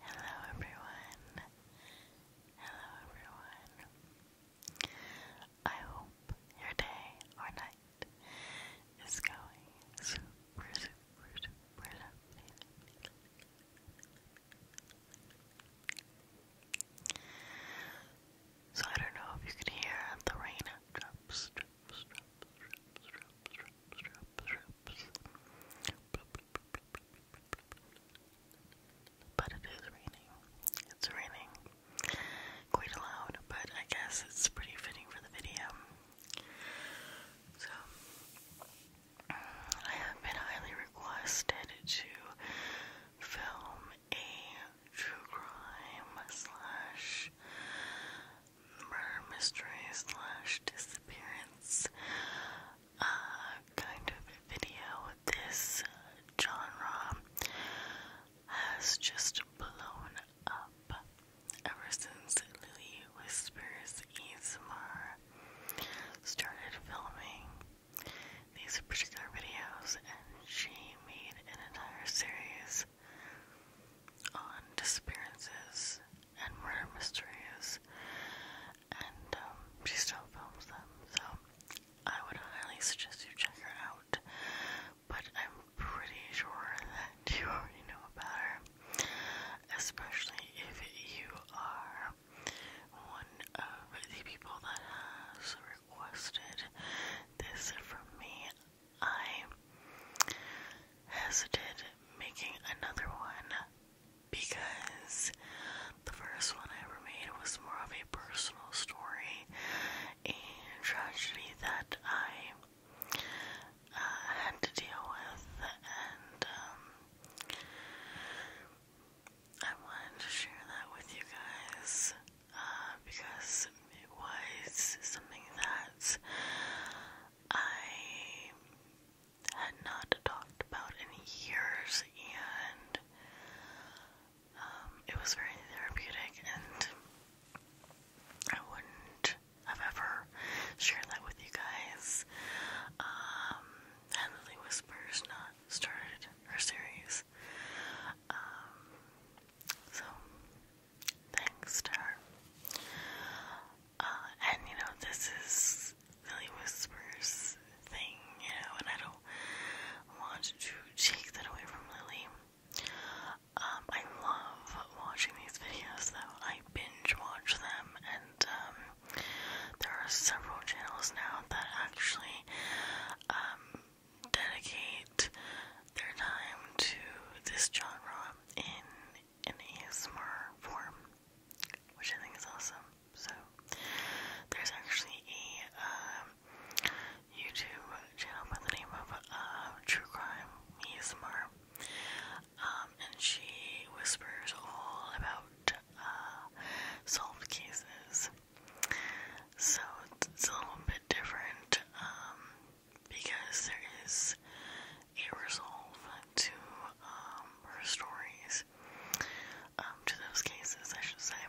Hello everyone. Hello everyone. I hope your day or night is going super So I don't know if you can hear the rain but it is raining. It's raining quite loud, but I guess it's pretty fitting for the video. So, I have been highly requested to film a true crime slash murder mystery slash disappearance uh, kind of video. This genre has just blown up ever since Lily Whispers ASMR started filming these particular videos and she made an entire series on disappearances and murder mysteries, and um, she still films them. So I would highly suggest you check her out. But I'm pretty sure that you already know about her, especially if you are one of the people that has requested this from me. I hesitated making another one because the first one I ever made was more of a personal story and tragedy that I uh, had to deal with, and um, I wanted to share that with you guys uh, because it was something that I had not talked about in years, and um, it was very therapeutic, and I wouldn't have ever shared that with you guys. Um, Whispers not started her series. Um, so thanks to uh, and you know, this is Lily Whispers thing, you know, and I don't want to take that away from Lily. Um, I love watching these videos though. I binge watch them and um, there are several channels now that actually um, dedicate their time to this genre in an ASMR form, which I think is awesome. So, there's actually a um, YouTube channel by the name of uh, True Crime ASMR, um, and she whispers all about uh, solved cases. So, it's, a little bit different. Um, because there is a resolve to um, her stories, um, to those cases, I should say.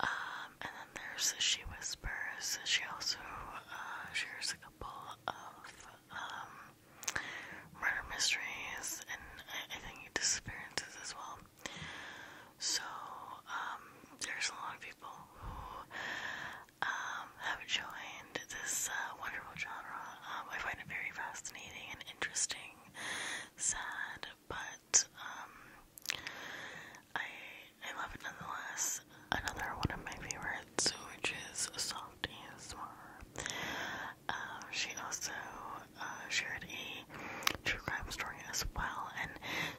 Um, and then there's She Whispers. She also uh, shares a couple of murder mysteries and I, I think disappearances as well. So, there's a lot of people who um, have joined this uh, wonderful genre. Um, I find it very fascinating and interesting, sad, but um, I I love it nonetheless. Another one of my favorites, which is Soft ASMR. Uh, she also uh, shared a true crime story as well, and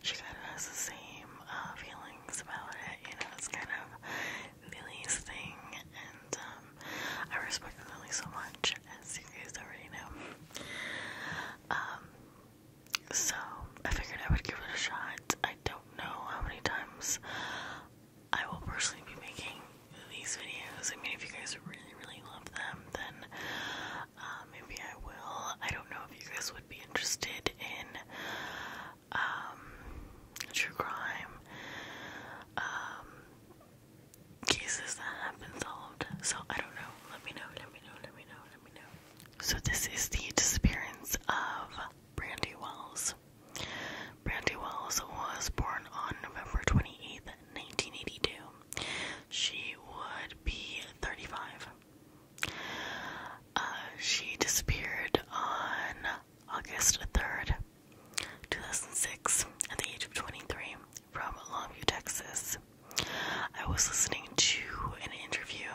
she got the same uh, feeling feelings about it. You know, it's kind of Millie's thing, and um, I respect Millie so much, as you guys already know. Um, so I figured I would give it a shot. I don't know how many times I will personally be making these videos. I mean, if you guys really, really love them, then uh, maybe I will. I don't know if you guys would be interested in um, true crime um, cases that have been solved. So I don't know. Let me know. Let me know. Let me know. Let me know. So this is the disappearance of Brandy Wells. Brandy Wells was born on November 28th, 1982. She would be 35. Uh, she disappeared on August 3rd, 2006, at the age of 23, from Longview, Texas. I was listening to an interview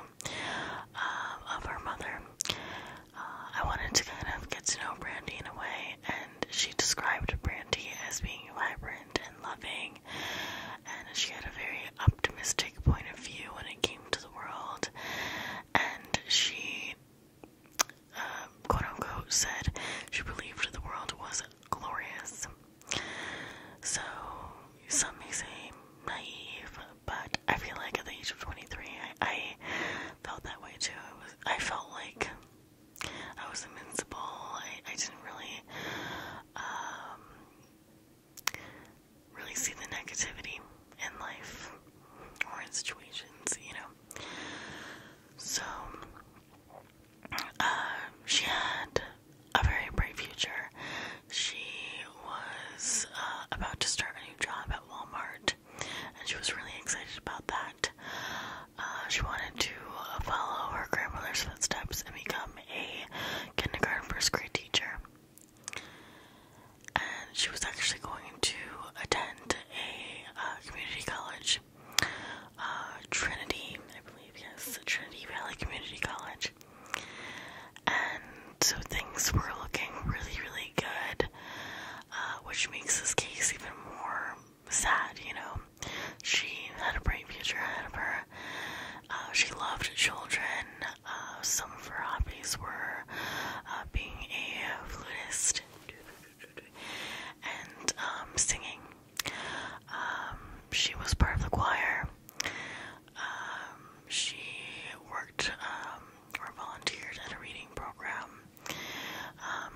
uh, of her mother. Uh, I wanted to kind of get to know Brandy in a way, and she described Brandy as being vibrant and loving, and she had a very optimistic point of view when it came to the world, and she, um, quote unquote, said she believed the world was glorious. So, some may say naive, but I feel like at the age of 23, I, felt that way too. I, felt like I was invincible. I, didn't really um, really see the negativity in life or in situations, you know. So, uh, she had a very bright future. She was uh, about to start a new job at Walmart, and she was really excited about that. Uh, she wanted to follow her grandmother's footsteps and become a kindergarten first grade teacher and she was actually going to attend a uh, community college, uh, Trinity, I believe, yes, Trinity Valley Community College. And so things were looking really, really good, uh, which makes this case even more sad, you know. She had a bright future ahead of her. she loved children. Uh, some of her hobbies were uh, being a flutist and um, singing. Um, she was part of the choir. Um, she worked or volunteered at a reading program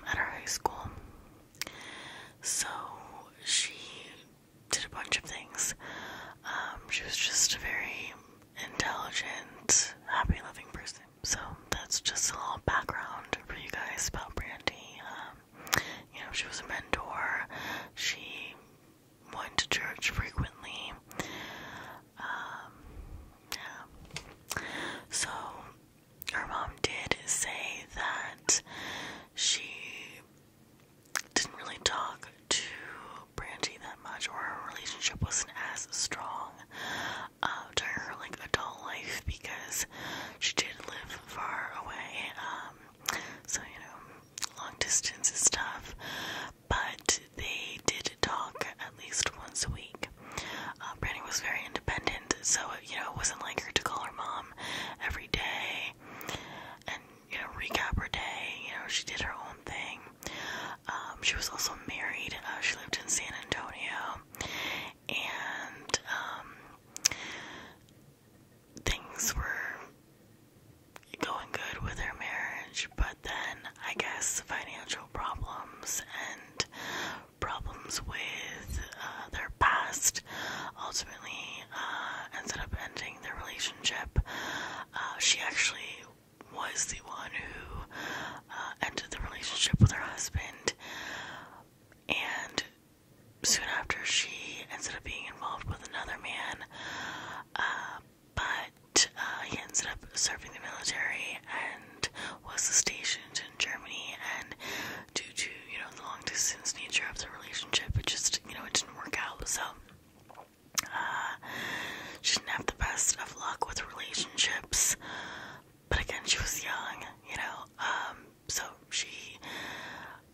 at her high school. So she did a bunch of things. Um, she was just a very intelligent, happy loving person. So that's just a little background for you guys about Brandy. Um, you know, she was a mentor. She went to church frequently. Um, yeah. So her mom did say that she didn't really talk to Brandy that much, or her relationship wasn't as strong uh, during her like adult life because she did live far away. Um, so you know, long distance is tough. But they did talk at least once a week. Uh, Brandy was very independent, so you know it wasn't like her to call her mom every day. And you know, recap her day. You know, she did her own thing. Um, she was also married. Uh, she lived in San Antonio, and um, things were going good with her marriage. But then, I guess, financial problems and problems with uh, their past ultimately uh, ended up ending their relationship. Uh, she actually was the one who uh, ended the relationship with her husband, and soon after, she ended up being involved with another man. Uh, but he ended up serving the military and was stationed in Germany. And due to you know the long distance nature of the relationship, it just you know it didn't work out. So uh, she didn't have the best of luck with relationships, but again, she was young, you know. Um, so she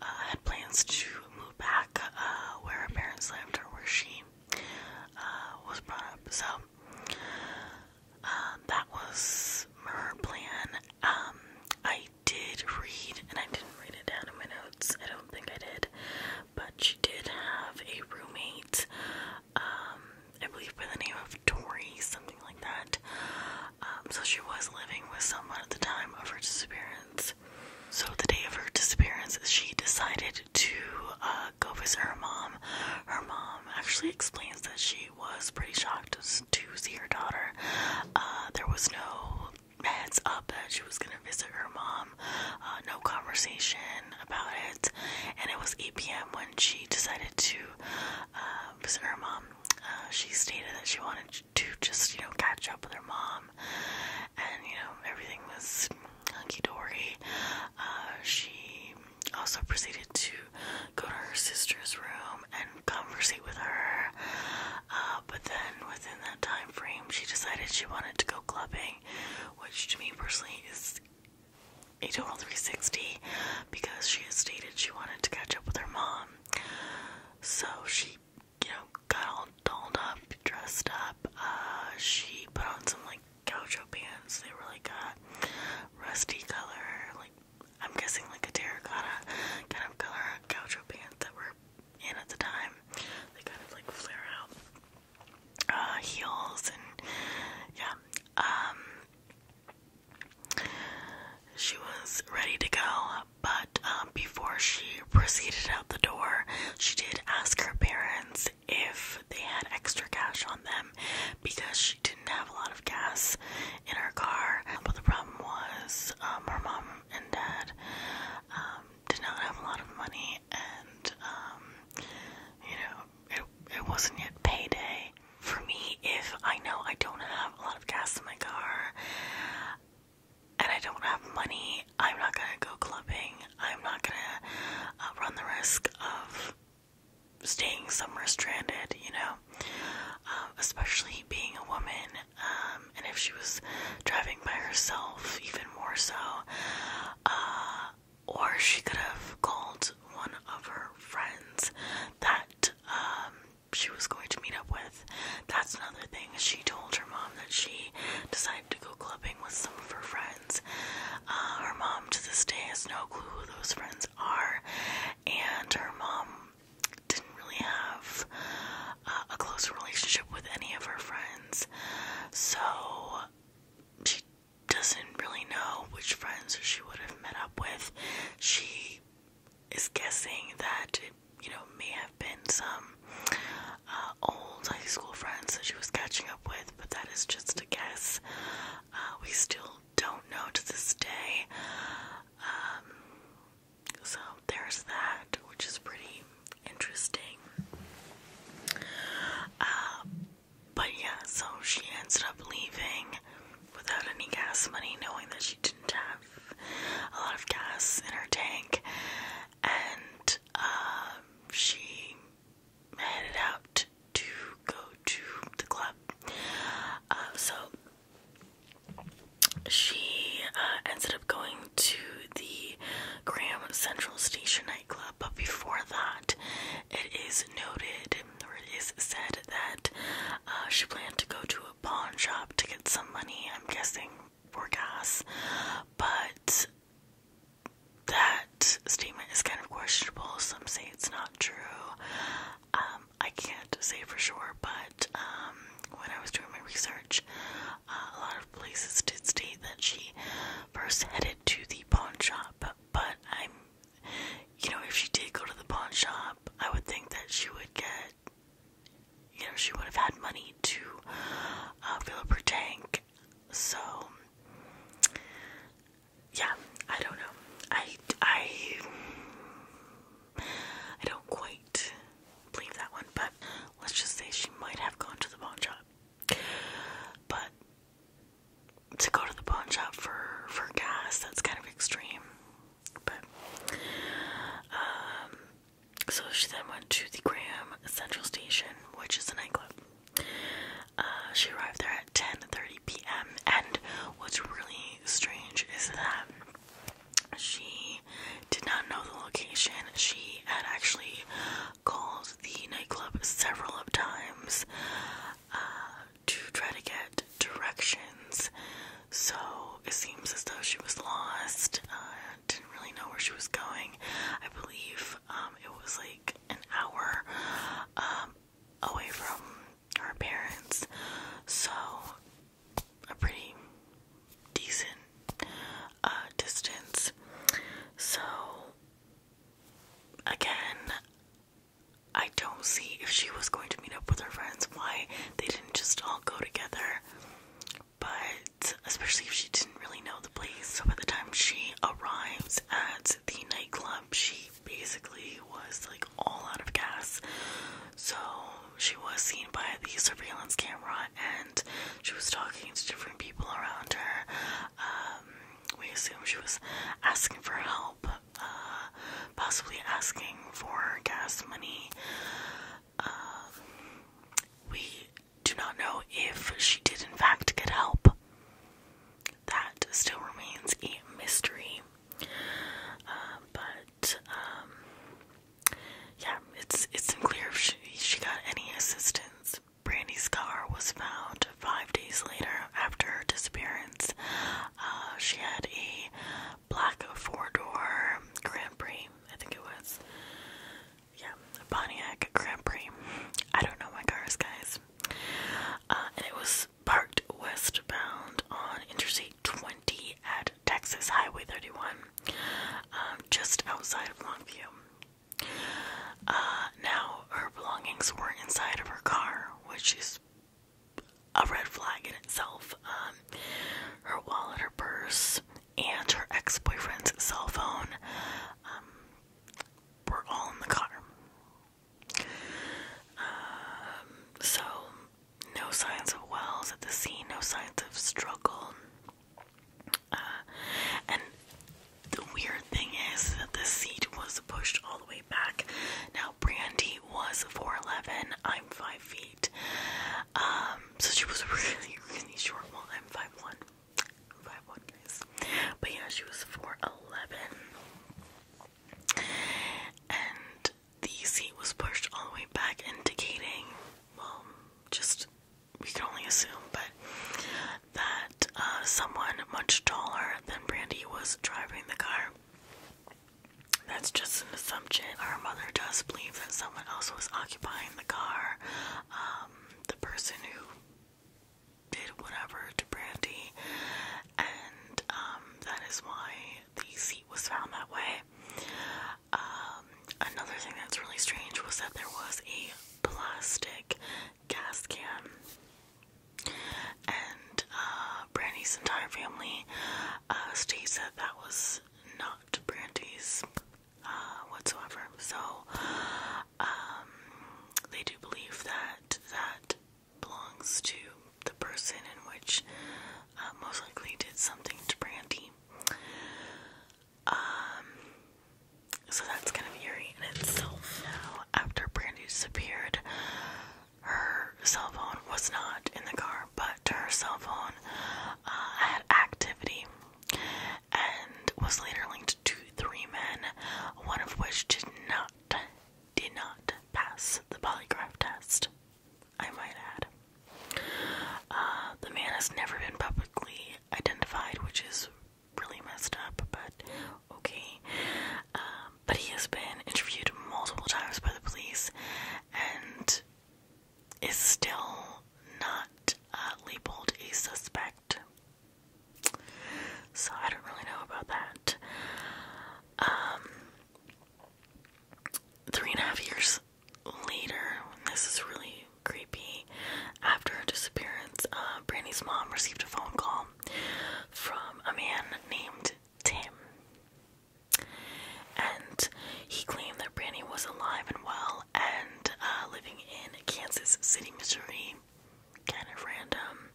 uh, had plans to move back uh, where her parents lived or where she was brought up. So um, that was her plan. Um, I did read, and I didn't write it down in my notes. I don't think I did but she did have a roommate, um, I believe by the name of Tori, something like that. Um, so she was living with someone at the time of her disappearance. So the day of her disappearance, she decided to uh, go visit her mom. Her mom actually explains that she was pretty shocked to see her daughter. Uh, there was no heads up that she was gonna visit her mom. Uh, no conversation about it, and it was 8 p.m. when she decided to uh, visit her mom. Uh, she stated that she wanted to just, you know, catch up with her mom, and you know, everything was hunky dory. she also proceeded to go to her sister's room and converse with her, but then within that time frame, she decided she wanted to go clubbing, which to me personally is a total 360 because she has stated she wanted to catch up with her mom. So she, you know, got all dolled up, dressed up. Uh, she put on some like gaucho pants. They were like rusty color, like I'm guessing like a terracotta kind of color gaucho pants that were in at the time. They kind of like flare out uh, heels and yeah. Um, she was ready to go, but um, before she proceeded out the door, she did ask her parents if they had extra cash on them because she didn't have a lot of gas in her car. But the problem was um, her mom and dad um, did not have a lot of money, and um, you know, it, it wasn't yet payday. For me, if I know I don't have a lot of gas in my car and I don't have money, I'm not gonna go clubbing. I'm not gonna uh, run the risk of staying somewhere stranded, you know, um, especially being a woman. Um, and if she was driving by herself, even more so. Uh, or she could have called one of her friends that um, she was going to meet up with. That's another thing. She told her mom that she decided to go clubbing with some of her friends. Uh, her mom to this day has no clue who those friends are, and her mom didn't really have uh, a close relationship with any of her friends. So she doesn't really know which friends she would have met up with. She is guessing that it, you know, may have been some uh, old high school friends that she was catching up with, but that is just a guess. Uh, we still don't know to this day. Um, so there's that, which is pretty interesting. Uh, but yeah, so she ended up leaving without any gas money, knowing that she didn't have a lot of gas in her tank, and uh, she headed out to go to the club. Uh, so she uh, ended up going to the Graham Central Station nightclub, but before that, it is noted or it is said that uh, she planned to go to a pawn shop to get some money, I'm guessing for gas, but that statement is kind of questionable. Some say it's not true. Um, I can't say for sure, but um, when I was doing my research, a lot of places did state that she first headed to the pawn shop, but, I'm, you know, if she did go to the pawn shop, I would think that she would get, you know, she would have had money to uh, fill up her tank. So, yeah, I don't know. I, I, I don't quite believe that one, but let's just say she might have gone to the pawn shop. But to go to the pawn shop for for gas, that's kind of extreme. But um, so she then went to the Gram Central Station, which is a nightclub. Uh, she arrived there at 10:30 p.m. and what's really strange is that she did not know the location. She had actually called the nightclub several times uh, to try to get directions. So it seems as though she was lost. Uh, didn't really know where she was going. I believe um, it was like an hour um, away from her parents. So a pretty decent uh, distance. So, again, I don't see if she was going to meet up with her friends why they didn't just all go together. But especially if she didn't really know the place, so by the time she arrives at the nightclub, she basically was like all out of gas. So she was seen by the surveillance camera and. She was talking to different people around her. Um, we assume she was asking for help, uh, possibly asking for gas money. Um, we do not know if she did, in fact, get help. That still remains a mystery. Uh, but um, yeah, it's it's unclear if she, she got any assistance. Brandy's car was found five days later after her disappearance. Uh, she had a black four-door Grand Prix, I think it was. Yeah, a Pontiac Grand Prix. I don't know my cars, guys. Uh, and it was parked westbound on Interstate 20 at Texas Highway 31. Um, just outside of Longview. Uh, now, her belongings were inside of her car, which is a red flag in itself. Um, her wallet, her purse, and her ex boyfriend's cell phone um, were all in the car. so, no signs of Wells at the scene, no signs of struggle. Uh, and the weird thing is that the seat was pushed all the way back. Now, Brandy was 4'11, I'm 5 feet. Um, so she was really, really short. Well, I'm 5'1. 5'1, guys. But yeah, she was 4'11. And the seat was pushed all the way back, indicating, well, just we can only assume, but that uh, someone much taller than Brandy was driving the car. That's just an assumption. Our mother does believe that someone else was occupying the car. Um, the person who did whatever to Brandy, and um, that is why the seat was found that way. Um, another thing that's really strange was that there was a plastic gas can. And uh, Brandy's entire family uh, states that was not Brandy's uh, whatsoever. So um, they do believe that that belongs to the person in which uh, most likely did something to Brandy. Um, so that's kind of eerie in itself. Now, after Brandi disappeared, her cell phone was not in the car, but her cell phone uh, had activity and was later linked to three men, one of which did not did not pass the polygraph test. I might add. Uh, the man has never been publicly identified, which is really messed up, but okay. Um, but he has been interviewed multiple times by the police and is still not uh, labeled a suspect. So I don't really know about that. Um, three and a half years later, this is really creepy, after her disappearance, uh, Brandy's mom received a phone call from a man named Tim. And he claimed that Brandy was alive and well and uh, living in Kansas City, Missouri. Kind of random.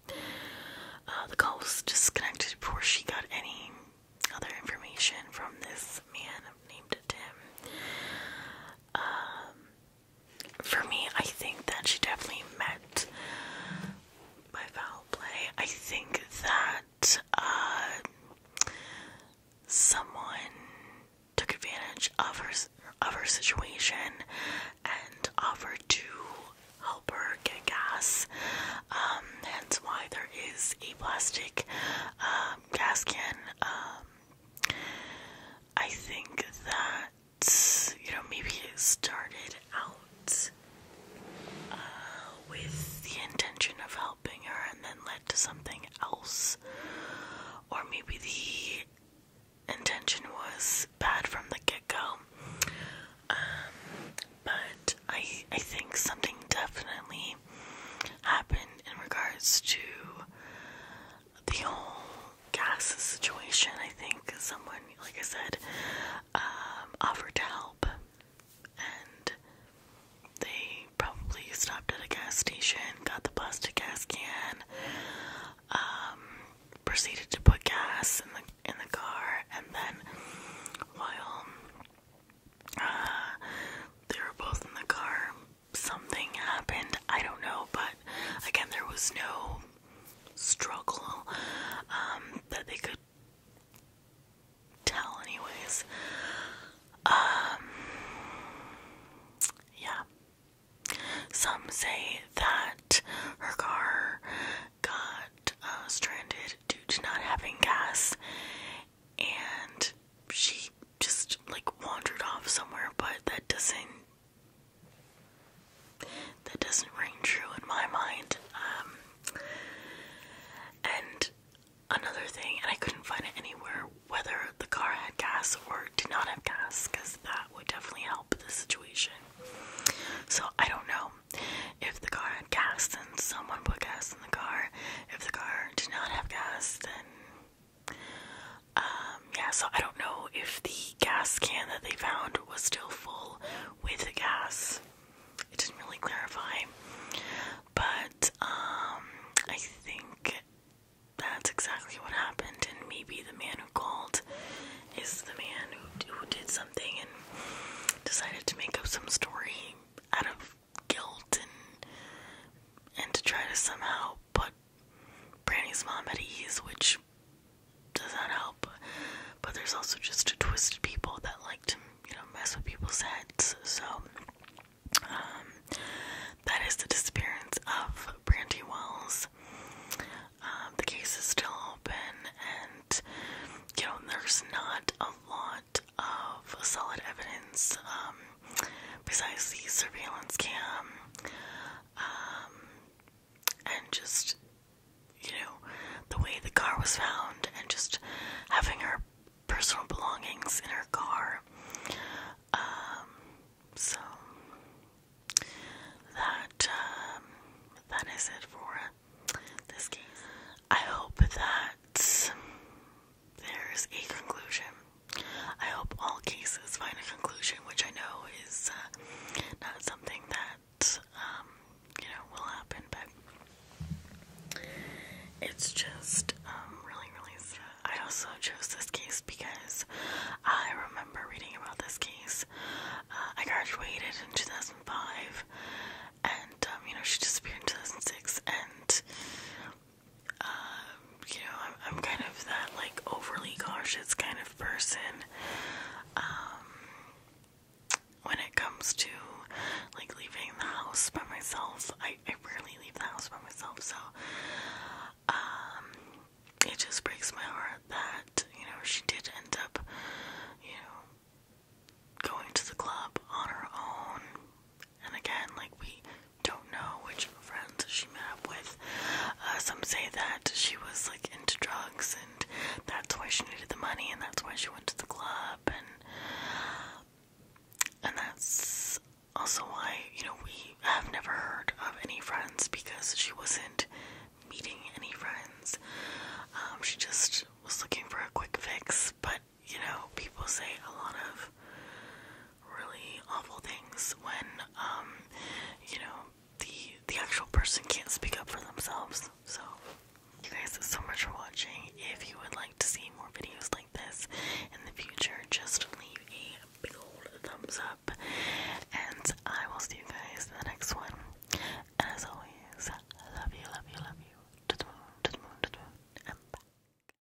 Uh, the call was disconnected before she got any other information from this man named Tim. Um, for me, I think that she definitely meant by foul play. I think that uh, someone took advantage of her of her situation and offered to help her get gas. Um, hence why there is a plastic um, gas can um, I think that, you know, maybe it started out uh, with the intention of helping her and then led to something else. Or maybe the intention was bad from the get go. Um, but I, I think something definitely happened in regards to the whole gas situation. I think someone, like I said, um, offered to help, and they probably stopped at a gas station, got the plastic gas can, um, proceeded to put gas in the in the car, and then while uh, they were both in the car something happened. I don't know, but again, there was no struggle um, that they could tell, anyways. Um, yeah. Some say that her car got uh, stranded due to not having gas and she just like wandered off somewhere, but that doesn't that doesn't ring true in my mind. Um, and another thing, and I couldn't find it anywhere whether the car had gas or did not have gas, because that would definitely help the situation. So I don't know if the car had gas, and someone put gas in the car. If the car did not have gas, then um, yeah, so I don't know if the gas can that they found was still full with gas. It didn't really clarify. But um I think that's exactly what happened and maybe the man who called is the man who, who did something and decided to make up some story out of guilt and and to try to somehow put Brandy's mom at ease, which does not help. But there's also just twisted people that like to, you know, mess with people's heads. So um, that is the disappearance of Brandy Wells. Um, the case is still open, and you know, there's not a lot of solid evidence. Um, besides the surveillance cam, um, and just, you know, the way the car was found, and just having her personal belongings in her car. Um, so that um, that is it for this case. I hope that there's a conclusion. I hope all cases find a conclusion, which I know is uh, not something that um, you know will happen, but it's just um, really, really I also chose this case because I remember reading about this case. Uh, I graduated in 2005, and um, you know she disappeared in 2006, and um, you know, I'm, kind of that like overly cautious kind of person. Um, when it comes to like leaving the house by myself, I, I rarely leave the house by myself, so um, it just breaks my heart that you know she did end up, you know, going to the club on her own and again, like we don't know which friends she met up with. Uh, some say that she was like into drugs and that's why she needed the money and that's why she went to the club and and that's also why, you know, we have never heard of any friends because she wasn't meeting any friends. Um, she just was looking for a quick fix, but you know, people say a lot of really awful things when, um, you know, the the actual person can't speak up for themselves. So, you guys, so much for watching. If you would like to see more videos like this in the future, just leave a big old thumbs up, and I will see you guys in the next one. And as always, love you, love you, love you. To the moon, to the moon, to the moon, and bye.